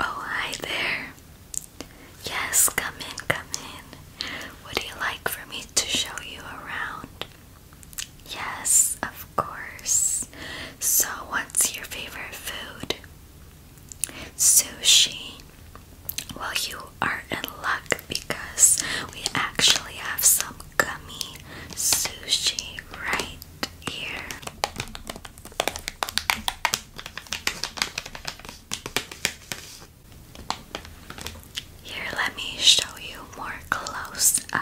Oh, hi there. Yes, come in, come in. Would you like for me to show you around? Yes, of course. So, what's your favorite food? Sushi. Well, you are in luck because we actually have some gummy sushi right here. Here, let me show you more close up.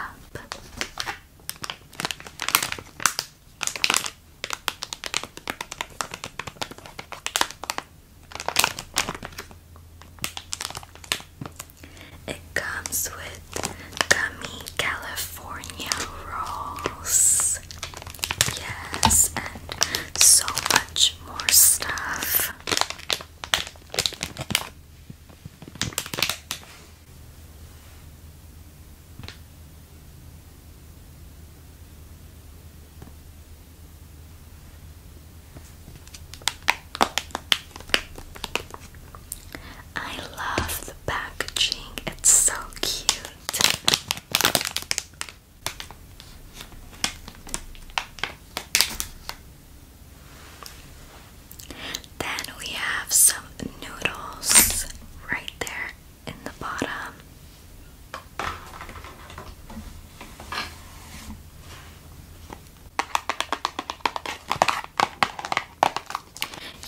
It comes with gummy California rolls. Yes, and so much more stuff. I love the packaging, it's so cute. Then we have some noodles right there in the bottom.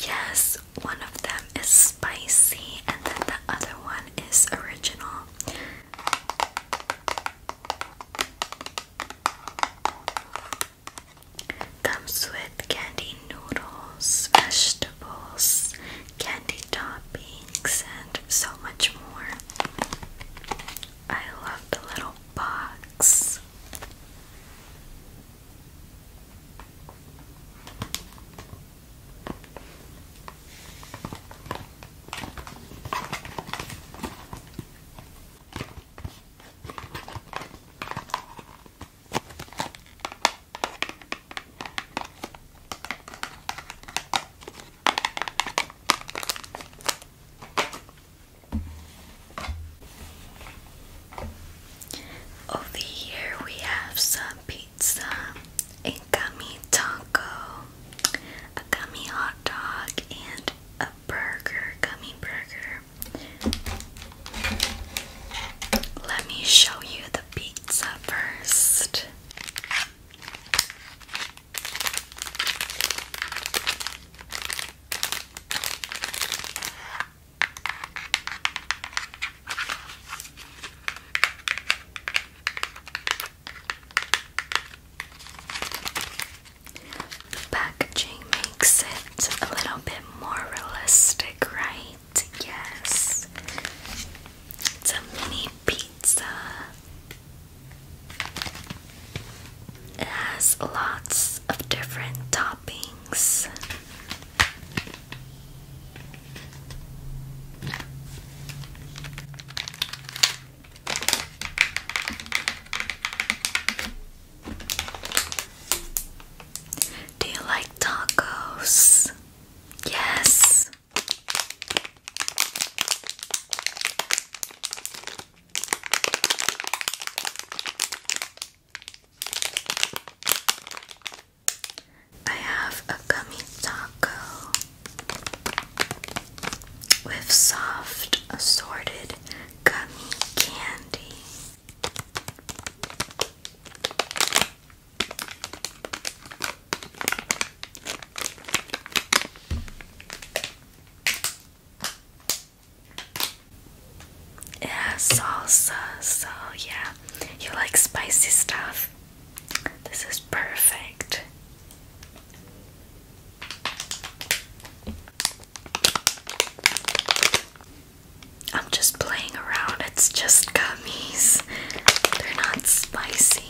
Yes, one of them is spicy, and then the other one is original. Comes with candy noodles, vegetables, candy toppings, and so much more. I love the little box. Over here we have some pizza, a gummy taco, a gummy hot dog, and a burger, gummy burger. Let me show you the pizza first. The packaging makes it a little bit more realistic, right? Yes. It's a mini pizza. has lots of different toppings. Do you like tacos? Yes. I have a gummy taco with soft assorted gummy candy. Yeah, salsa, so yeah, you like spicy stuff. This is perfect. I'm just playing around. It's just gummies. They're not spicy.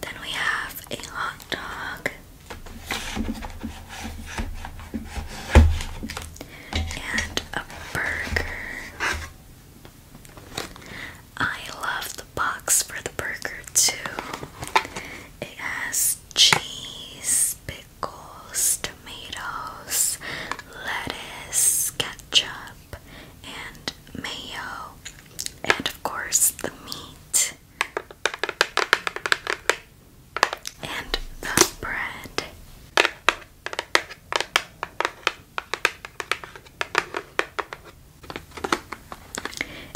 Then we have a hot dog and a burger. I love the box for the burger too. It has cheese, pickles, tomatoes, lettuce, ketchup, and mayo, and of course the meat and the bread.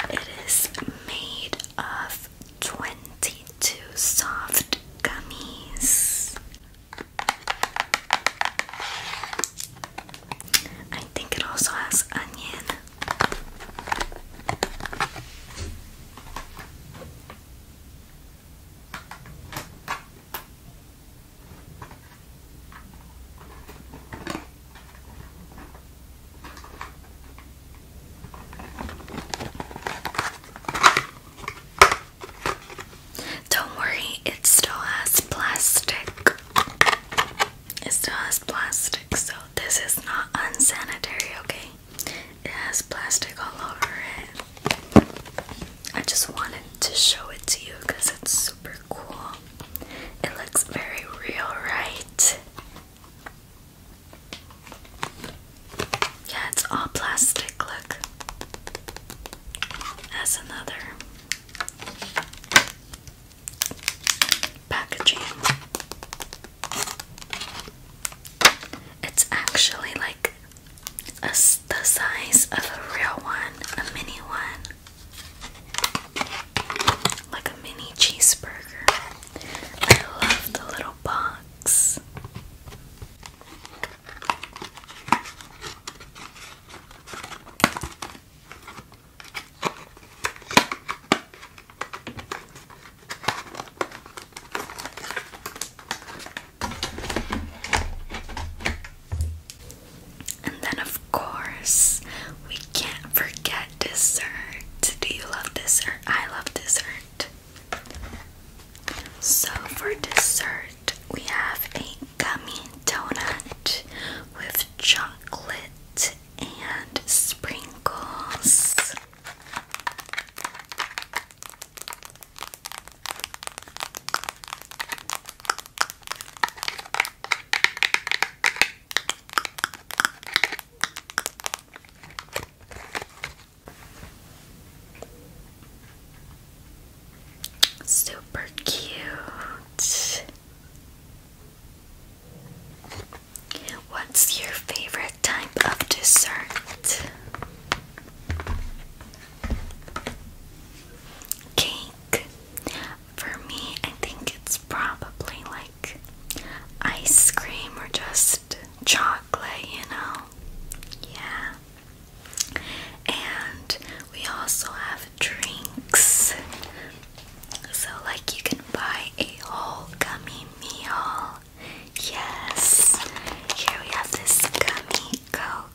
It is made of 22 soft gummies. I think it also has onion. Don't worry, it still has plastic. It still has plastic, so this is not unsanitary, okay? It has plastic all over it. I just wanted to show it to you because it's super cool. It looks very real, right? Yeah, it's all plastic, look. That's another packaging. It's actually like the size of a real one, a mini one, like a mini cheeseburger. I love the little box. And then, of course, we can't forget dessert. Do you love dessert? I love dessert. So, for dessert, we have a gummy donut with chocolate and sprinkles. Super cute. What's your favorite type of dessert? Cake. For me, I think it's probably like ice cream or just chocolate, you know? Yeah. And we also have drinks. So, like, you can buy a whole gummy meal. Yes. Here we have this gummy go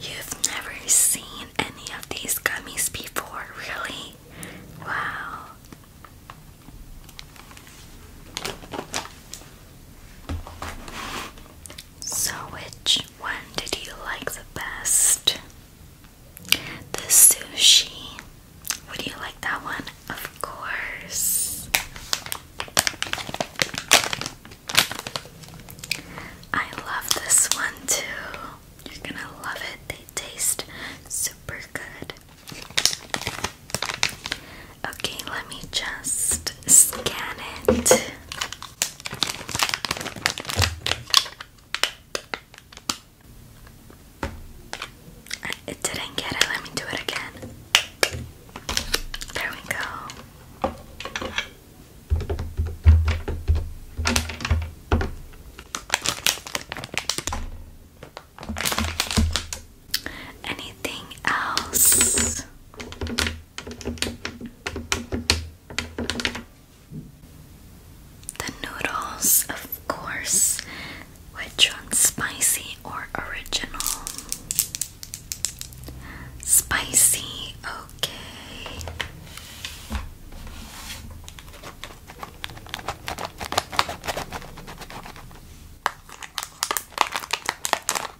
You've never seen any of these gummies before, really? Wow. So, which one did you like the best? The sushi. Would you like that one? Of course. I love this one too. You're gonna love it. They taste super good. Okay, let me just scan it. It didn't get it. Let me do it again. There we go. Anything else? The noodles, of course, which one's spicy or original? Spicy, okay.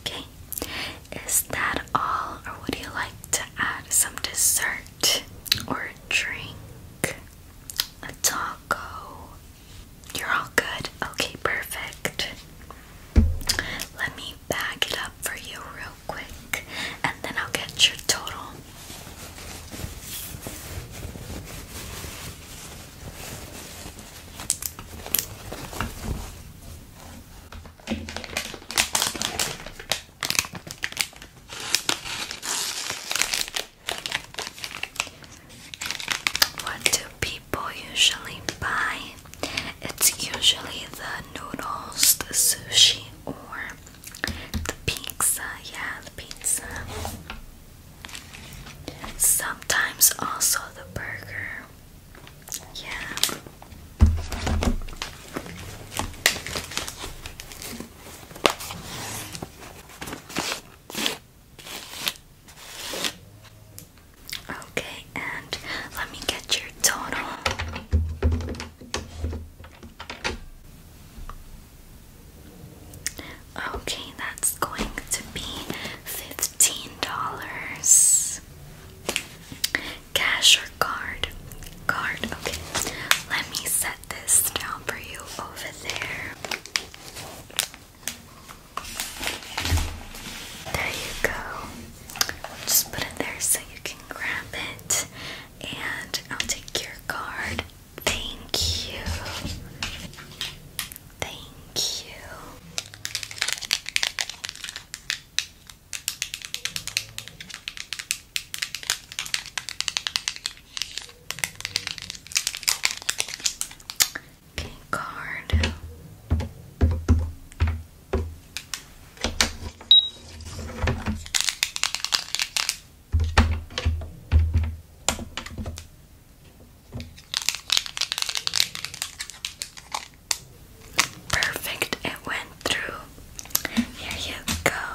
Okay, is that all, or would you like to add some dessert or a drink? A taco? You're all good? Okay, perfect. Let me bag it up for you real quick and then I'll get your total. What do people usually buy? It's usually the noodles, the sushi, or the pizza. Yeah, the pizza. Sometimes also the burger. Yeah. Okay, and let me get your total. Okay, that's going to be $15. Cash or card? Card, okay. Let me set this down for you over there. There you go. Just put it there so you can grab it. And I'll take your card Thank you. Thank you. Okay, card. Perfect, it went through. Here you go.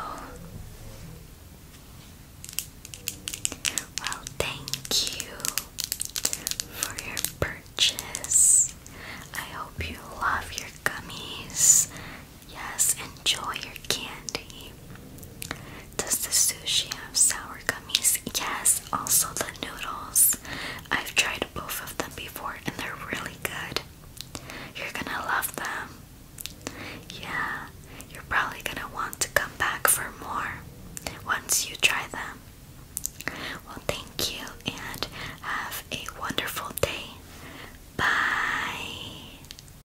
Well, thank you for your purchase. I hope you love your gummies. Yes, enjoy your candy. Does the sushi have sour gummies? Yes, also the noodles. I've tried both of them before and they're really good. You're gonna love them. Yeah, you're probably gonna want to come back for more once you try them. Well, thank you and have a wonderful day. Bye.